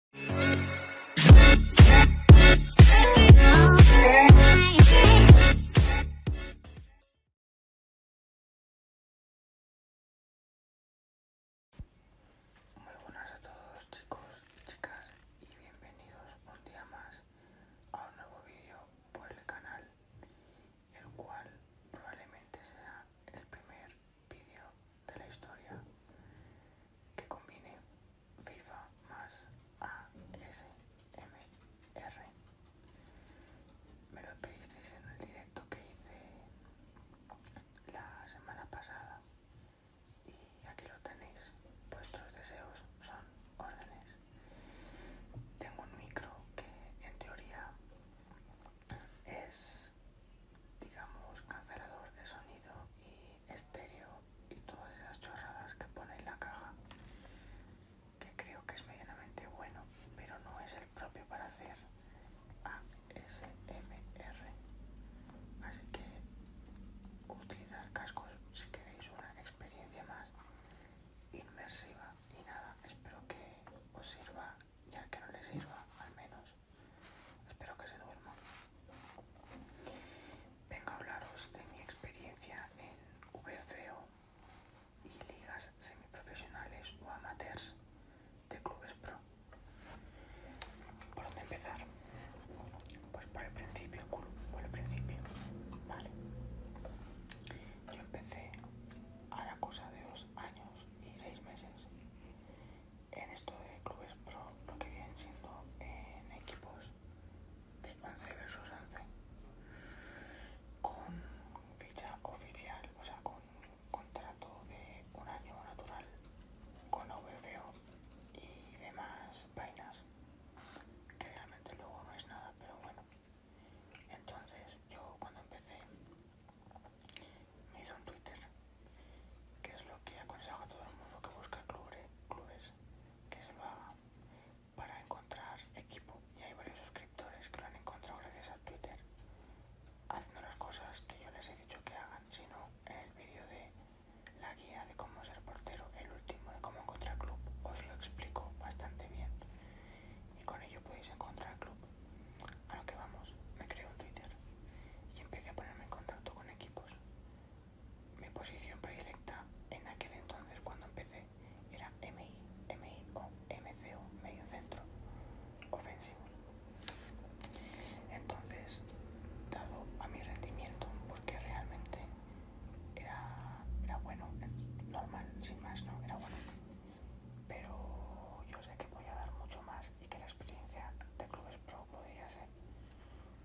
Muy buenas a todos chicos y chicas y bienvenidos un día más a un nuevo vídeo por el canal, el cual probablemente sea el primer vídeo de la historia que combine FIFA más ASMR. Me lo pedisteis en el directo que hice la semana pasada y aquí lo tenéis. Vuestros deseos son órdenes. Tengo un micro que en teoría es digamos, cancelador de sonido y estéreo y todas esas chorradas que pone en la caja, que creo que es medianamente bueno, pero no es el propio para hacer ASMR. Así que utilizar cascos si queréis una experiencia más inmersiva y nada, espero que os sirva ya que no le sirva al menos Espero que se duerma. Vengo a hablaros de mi experiencia en VFO y ligas semiprofesionales o amateurs de clubes pro. ¿Por dónde empezar? Pues por el principio, por el principio. Vale. Yo empecé a la cosa de dos años y seis meses en esto de clubes pro lo que vienen siendo en equipos de 11 versus 11 con ficha oficial o sea con contrato de un año natural con OVFO y demás vainas que realmente luego no es nada pero bueno entonces yo cuando empecé me hizo un Twitter, que es lo que aconsejo a todo el mundo que busca clubes, que se lo haga para encontrar equipo. Y hay varios suscriptores que lo han encontrado gracias a Twitter, haciendo las cosas que yo les he dicho que hagan, sino en el vídeo de la guía de cómo ser portero, el último de cómo encontrar club, os lo explico bastante bien. Y con ello podéis encontrar club. A lo que vamos, me creo un Twitter y empecé a ponerme en contacto con equipos mi posición predilecta en aquel entonces cuando empecé era MI, MI o MCO, medio centro ofensivo. Entonces, dado a mi rendimiento, porque realmente era, bueno, normal, sin más, no, era bueno. Pero yo sé que voy a dar mucho más y que la experiencia de clubes pro podría ser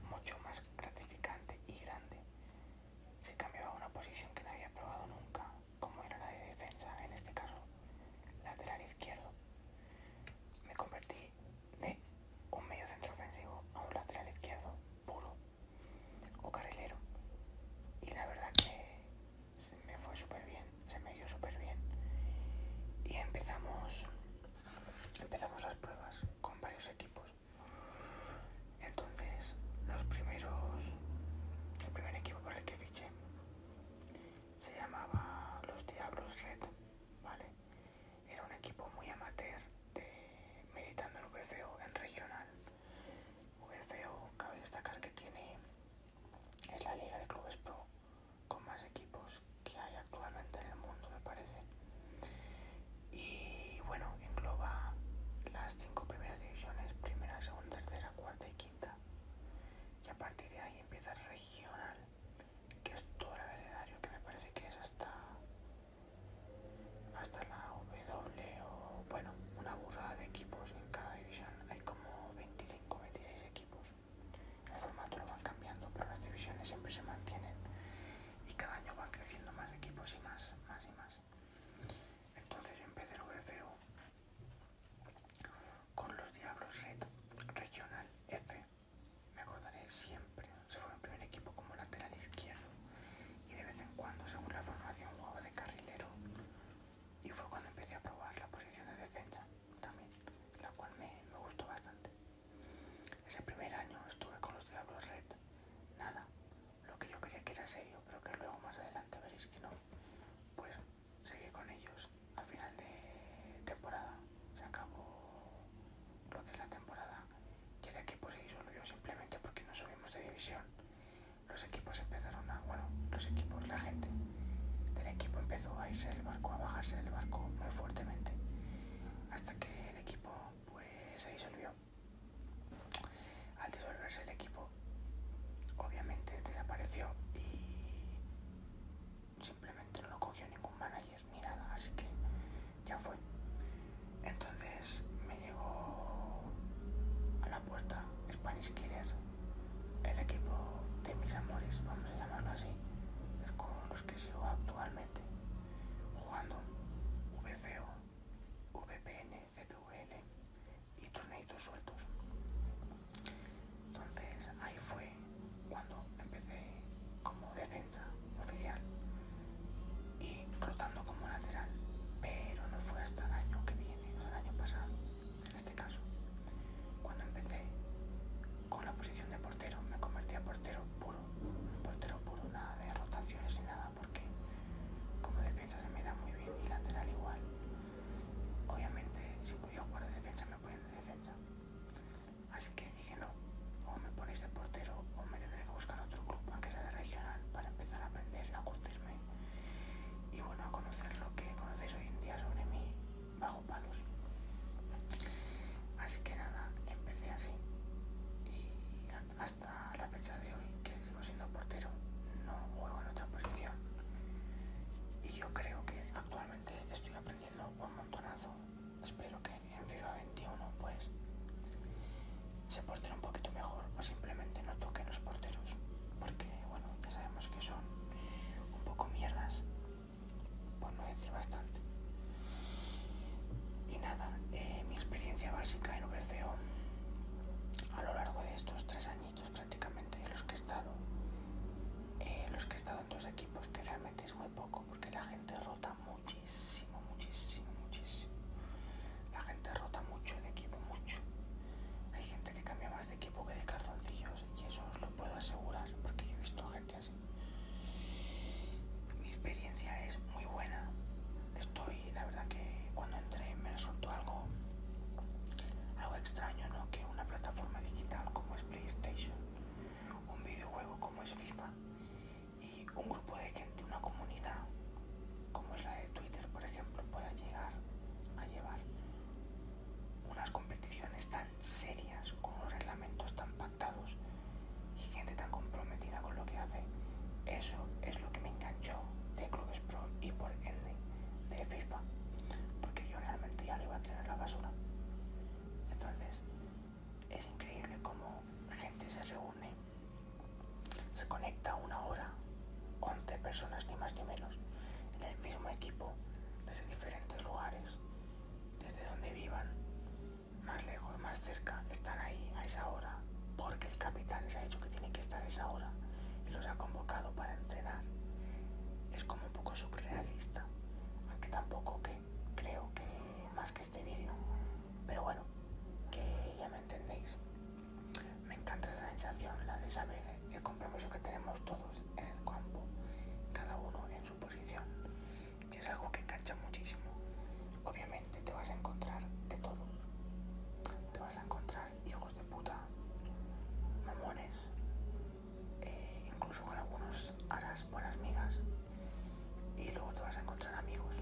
mucho más gratificante y grande. Se cambiaba una posición que no había probado nunca, como era la de defensa, en este caso, lateral izquierdo. Me convertí de un medio centro ofensivo a un lateral izquierdo puro o carrilero. Y la verdad que se me fue súper bien, se me dio súper bien. Y empezamos empezamos las pruebas con varios equipos. Entonces, los primeros, el primer equipo para el que fiché se llamaba Los Diablos Red, ¿vale? Era un equipo muy amateur de militando en VFO en regional. VFO cabe destacar que tiene es la liga de clubes pro con más equipos que hay actualmente en el mundo, me parece. Y bueno, engloba las cinco primeras divisiones, primera, segunda, tercera, cuarta y quinta. Y a partir de ahí empieza regional, que es todo el abecedario, que me parece que es hasta, hasta la W o bueno, una burrada de equipos en cada división. Hay como 25, 26 equipos. El formato lo van cambiando, pero las divisiones siempre se mantienen y cada año van creciendo más equipos y más, más y más. Entonces yo empecé el VFU con los Diablos Red Regional F. Me acordaré siempre. Se fue en primer equipo como lateral izquierdo y de vez en cuando, según la formación, jugaba de carrilero. Y fue cuando empecé a probar la posición de defensa también, la cual me, gustó bastante. Ese primer año estuve con los Diablos Red, nada, lo que yo creía que era serio, pero que luego más adelante veréis que no, pues seguí con ellos. Al final de temporada se acabó lo que es la temporada y el equipo se disolvió simplemente porque no subimos de división. Los equipos empezaron a, bueno, los equipos, la gente del equipo empezó a irse del barco, a bajarse del barco muy fuertemente hasta que el equipo pues se disolvió. Al disolverse el equipo, obviamente desapareció y simplemente no lo cogió ningún manager ni nada, así que ya fue. Entonces me llegó a la puerta Spanish Killer, el equipo de mis amores, vamos a llamarlo así, con los que actualmente, jugando VCO, VPN, cpvl y torneitos sueltos. Entonces ahí fue cuando empecé como defensa oficial y rotando como lateral, pero no fue hasta el año que viene, o el año pasado, en este caso, cuando empecé con la posición de portero, me convertí a portero puro. Portero puro, nada de rotaciones ni nada, porque como defensa se me da muy bien y lateral igual. Obviamente, si podía jugar de defensa, me ponían de defensa. Así que dije no, o me ponéis de portero o me tendré que buscar otro club, aunque sea de regional, para empezar a aprender, a curtirme y bueno, a conocer lo que conocéis hoy en día sobre mí bajo palos. Así que nada, empecé así. Y hasta la fecha de hoy, que sigo siendo portero, no juego en otra posición. Y yo creo que actualmente estoy aprendiendo un montonazo. Espero que en FIFA 21 pues se porten un poquito mejor o simplemente no toquen los porteros. Porque bueno, ya sabemos que son un poco mierdas por no decir bastante. Y nada, eh, mi experiencia básica en VFO a lo largo de estos tres añitos prácticamente De los que he estado, eh, los que he estado en dos equipos, que realmente es muy poco porque la gente rota muchísimo, muchísimo, muchísimo. La gente rota mucho de equipo, mucho. Hay gente que cambia más de equipo que de calzoncillos y eso os lo puedo asegurar porque yo he visto gente mi experiencia es muy buena. Estoy, la verdad que cuando entré me resultó algo, algo extraño, ¿no? Que una plataforma digital como es PlayStation, un videojuego como es FIFA y un grupo de gente, una comunidad como es la de Twitter, por ejemplo, pueda llegar a llevar unas competiciones tan serias, con unos reglamentos tan y gente tan comprometida con lo que hace. Eso es lo que me enganchó de Clubes Pro y por ende de FIFA, porque yo realmente ya lo iba a tener la basura. Entonces, es increíble cómo gente se reúne, se conecta una hora, 11 personas ni más ni menos, en el mismo equipo, desde diferentes lugares, desde donde vivan, más lejos, más cerca, están ahí a esa hora, porque el capitán les ha dicho que tiene que estar a esa hora y los ha convocado para entrenar. Es como un poco surrealista, aunque tampoco que creo que más que este vídeo, pero bueno, que ya me entendéis. Me encanta esa sensación, la de saber el compromiso que tenemos todos en el campo, cada uno en su posición que es algo que engancha muchísimo. Obviamente te vas a encontrar de todo. Te vas a encontrar hijos de puta, mamones, eh, incluso con algunos harás buenas migas. Y luego te vas a encontrar amigos.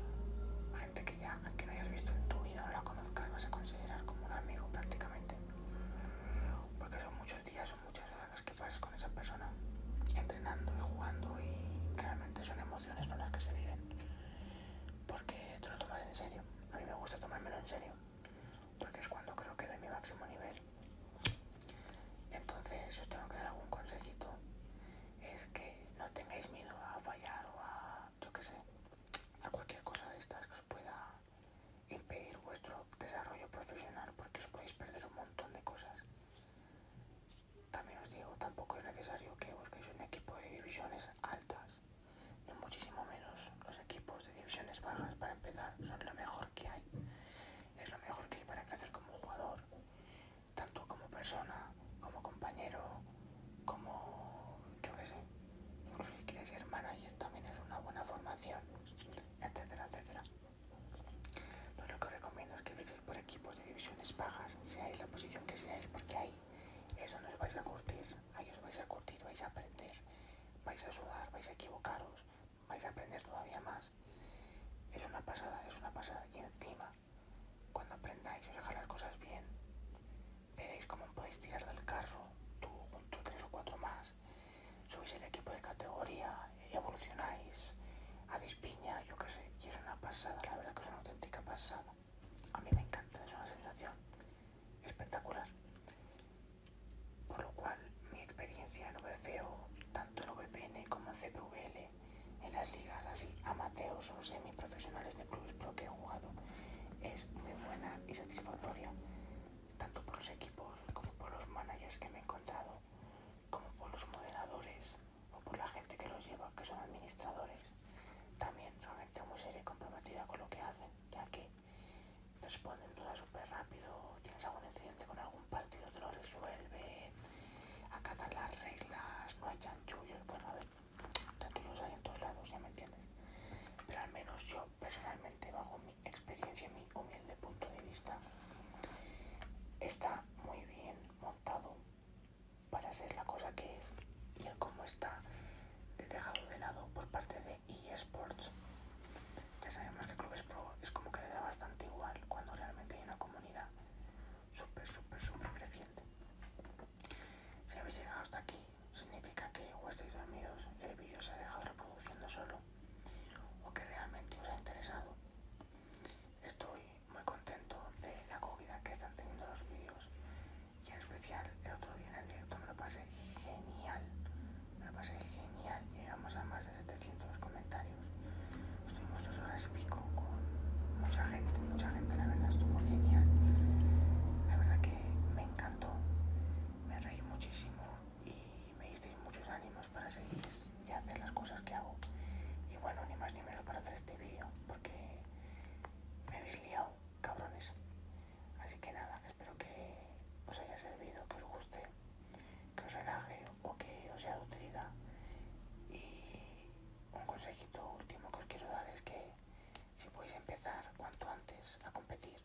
Gente que ya que no hayas visto en tu vida o la conozcas vas a considerar como un amigo prácticamente. Porque son muchos días, son muchas horas las que pases con esa persona, entrenando y jugando y realmente son emociones no las que se viven, porque te lo tomas en serio, a mí me gusta tomármelo en serio, porque es cuando creo que doy mi máximo nivel. Entonces, si os tengo que dar algún consejito, es que no tengáis miedo a fallar o a, yo qué sé, a cualquier cosa de estas que os pueda impedir vuestro desarrollo profesional porque os podéis perder un montón de cosas. También os digo, tampoco es necesario que busquéis un equipo de divisiones altas, ni muchísimo menos. Los equipos de divisiones bajas para empezar son lo mejor que hay. Es lo mejor que hay para crecer como jugador, tanto como persona, como compañero, como yo qué sé. Incluso si quieres ser manager también es una buena formación, etcétera, etcétera lo que recomiendo es que veis por equipos de divisiones bajas, seáis la posición que seáis, porque ahí eso nos os vais a curtir, ahí os vais a curtir, vais a aprender, vais a sudar, vais a equivocaros, vais a aprender todavía más. Es una pasada, es una pasada. Y encima, cuando aprendáis os dejáis las cosas bien, veréis cómo podéis tirar del carro, tú junto tres o cuatro más, Subís el equipo de categoría, evolucionáis, a dispiña, yo qué sé, y es una pasada, la verdad que es una auténtica pasada. A mí me encanta, es una sensación espectacular. Por lo cual, mi experiencia en VFO, tanto en VPN como en CPVL, en las ligas así amateur o semiprofesionales de clubes pro que he jugado, es muy buena y satisfactoria, tanto por los equipos como por los managers que me he encontrado, como por los moderadores o por la gente que los lleva, que son administradores. También solamente gente muy seria y comprometida con lo que hacen, ya que responden todas súper rápido, tienes algún incidente con algún partido, te lo resuelven, acatan las reglas, no hay chanchullos, bueno, a ver, chanchullos hay en todos lados, ya me entiendes. Pero al menos yo personalmente bajo mi experiencia, mi humilde punto de vista, está muy bien montado para ser la cosa que es y el cómo está dejado de lado por parte de eSports. Ya sabemos que Clubes Pro es como que le da bastante igual cuando realmente hay una comunidad súper, súper, súper creciente. Si habéis llegado hasta aquí, significa que o estáis dormidos el vídeo se ha dejado reproduciendo solo o que realmente os ha interesado. Estoy muy contento de la acogida que están teniendo los vídeos y en especial el otro día en el directo me lo pasé genial, me lo pasé genial, llegamos a más de 700 comentarios, estuvimos dos horas y pico con mucha gente, mucha gente, la verdad estuvo genial, la verdad que me encantó, me reí muchísimo y me disteis muchos ánimos para seguir y hacer las cosas que hago. Y bueno, ni más ni menos para hacer este vídeo, porque me habéis liado, cabrones. Así que nada, espero que os haya servido, que os guste, que os relaje o que os sea de utilidad. Y un consejito último que os quiero dar es que si podéis empezar cuanto antes a competir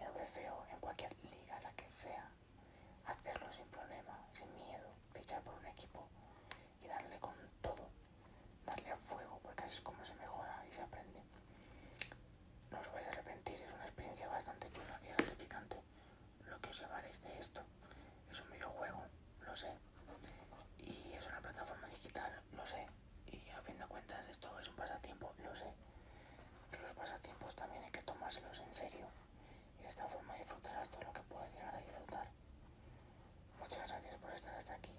en o en cualquier liga, la que sea, hacerlo sin problema, sin miedo, fichar por un equipo y darle con todo, darle a fuego, porque así es como se mejora y se aprende. No os vais a arrepentir, es una experiencia bastante chula y gratificante. Lo que os llevaréis de esto es un videojuego, lo sé, y es una plataforma digital, lo sé, y a fin de cuentas esto es un pasatiempo, lo sé, que los pasatiempos también hay que tomárselos en serio y de esta forma disfrutarás todo lo que puedas llegar a disfrutar. Muchas gracias por estar hasta aquí.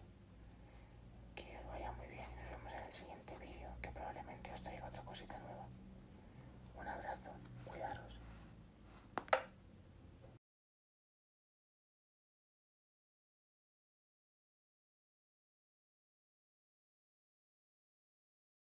Que os vaya muy bien y nos vemos en el siguiente vídeo que probablemente os traiga otra cosita nueva. Un abrazo, cuidaros.